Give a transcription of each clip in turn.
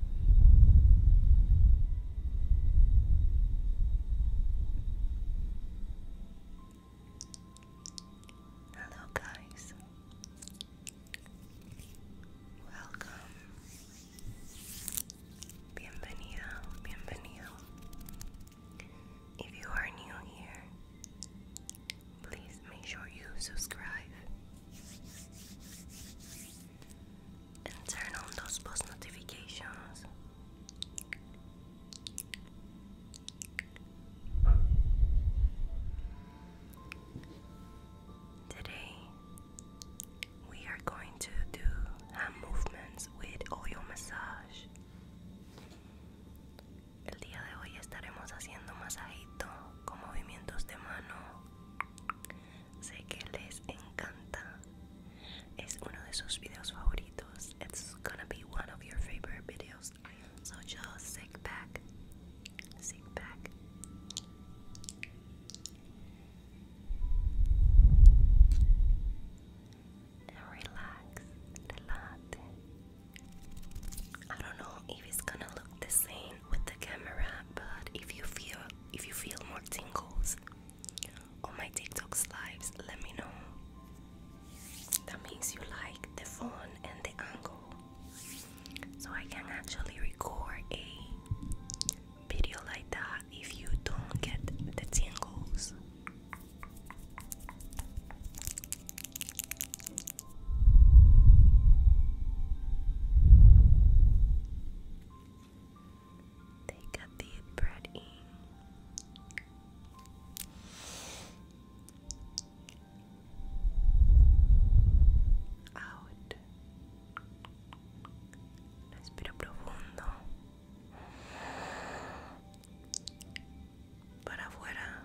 Hello, guys. Welcome. Bienvenido, bienvenido. If you are new here, please make sure you subscribe and turn on those post notifications. Today, we are going to do hand movements with oil massage. El día de hoy estaremos haciendo masajito con movimientos de mano it's gonna be one of your favorite videos. So just sit back, sit back. And relax, relate. I don't know if it's gonna look the same with the camera, but if you feel if you feel more tingles on my TikToks lives, let me know. That means you like the phone and the angle. So I can actually record a video like that if you don't get the tingles. They got the bread in. Out. Respiro profundo. Para afuera.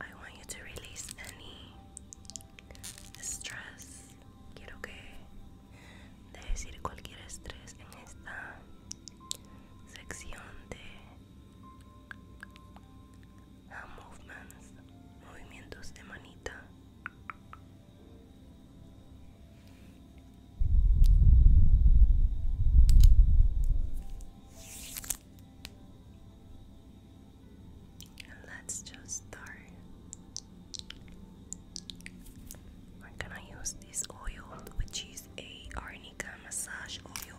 I want you to release any stress. Quiero que dejes ir cualquier estrés en esta sección de movements, movimientos de manita. And let's just start. We're gonna use this oil, which is a arnica massage oil.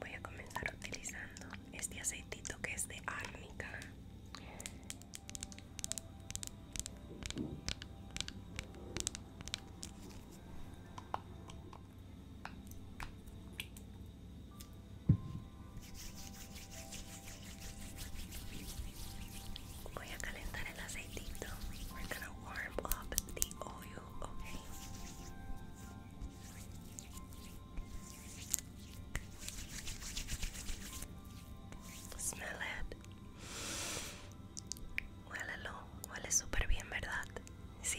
Voy a comenzar utilizando este aceitito que es de árnica Voy a calentar el aceitito. We're gonna warm up the oil, okay? Smell it. Huélalo, huele súper bien, ¿verdad? Sí.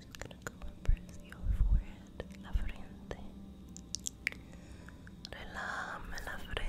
just gonna go and press your forehead, la frente. Relame la frente.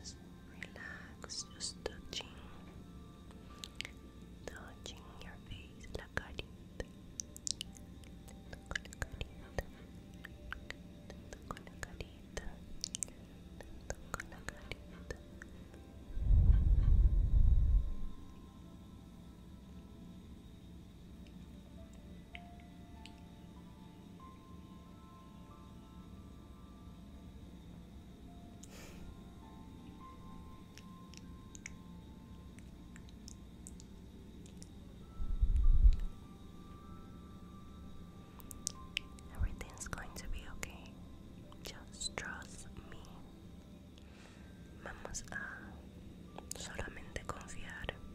just relax, just touching, touching your face, la carita, toco la carita, Everything's going to be okay. Just trust me. Vamos a solamente confiar.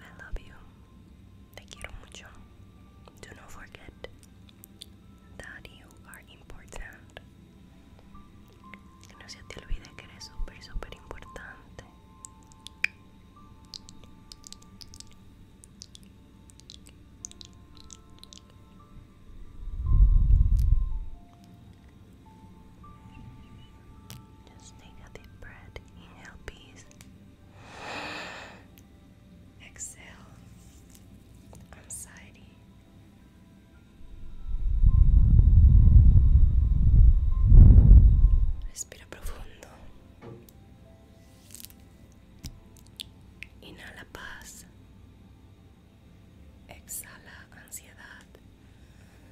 I love you. Te quiero mucho. Do not forget that you are important. no se te olvide que eres súper, súper importante. Just take a deep breath. Inhale peace. Exhale anxiety. Respira profundo. Inhala paz. Exhala ansiedad.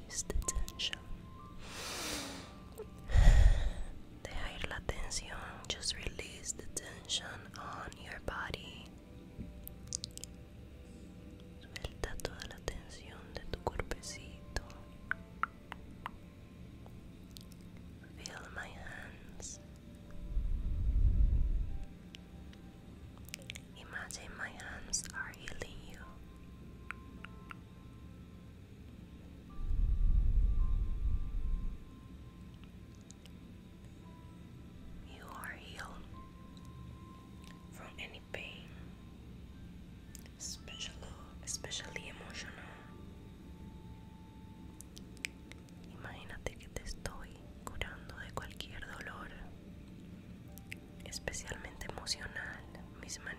Release the tension. Dejar la tensión. Just release the tension on your body. Suelta toda la tensión de tu cuerpecito. Feel my hands. Imagine my hands are healing you. You are healed from any pain, especially, especially emotional. Imagínate que te estoy curando de cualquier dolor, especialmente emocional, mis manitas.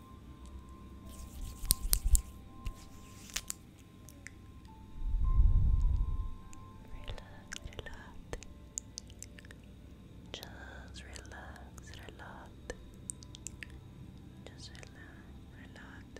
relax. Just relax, relax. Just relax, relax. Relax,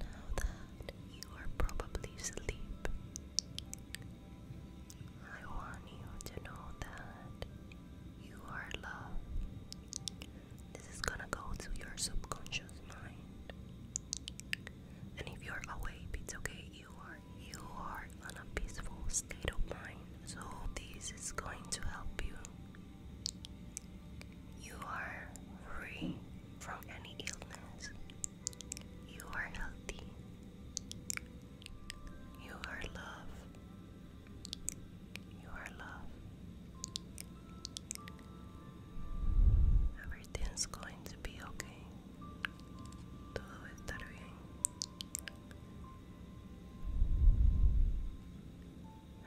Now that you are probably asleep, I want you to know that you are loved. This is gonna go to your subconscious mind. And if you're awake, it's okay. You are you are in a peaceful state of mind. So this is going to help you. You are free from any illness. You are healthy. You are love. You are love. Everything's going to be okay. Todo va bien.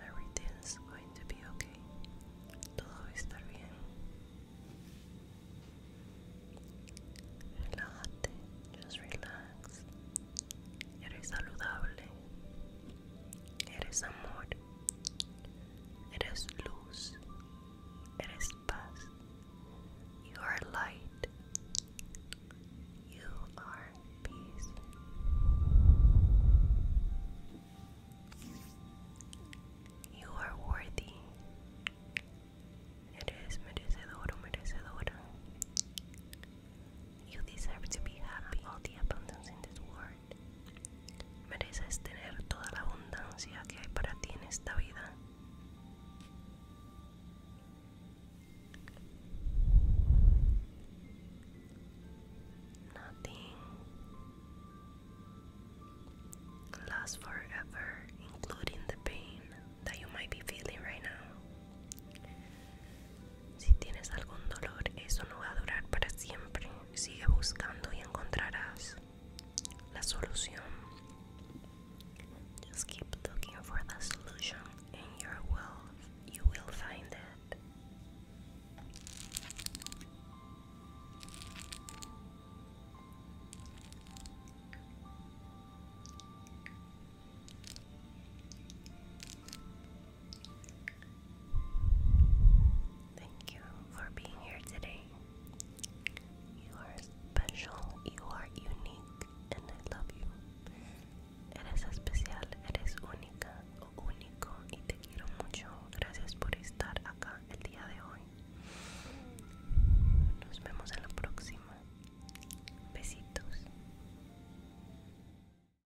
Everything's going to be okay. Todo va bien. Relájate, just relax. Eres saludable. It is amor. Eres luz. Eres paz. You are light. You are peace. You are worthy. You deserve to be happy. All the abundance in this world. Mereces tener toda la abundancia que hay para ti en esta vida. Nothing lasts forever, including the pain that you might be feeling right now. Si tienes algún dolor, eso no va a durar para siempre. Sigue buscando y encontrarás la solución. Just keep looking for the solution in your wealth. You will find it. Thank you for being here today. You are special, you are unique, and I love you. Eres especial, eres única o oh, único y te quiero mucho. Gracias por estar acá el día de hoy. Nos vemos en la próxima. Besitos.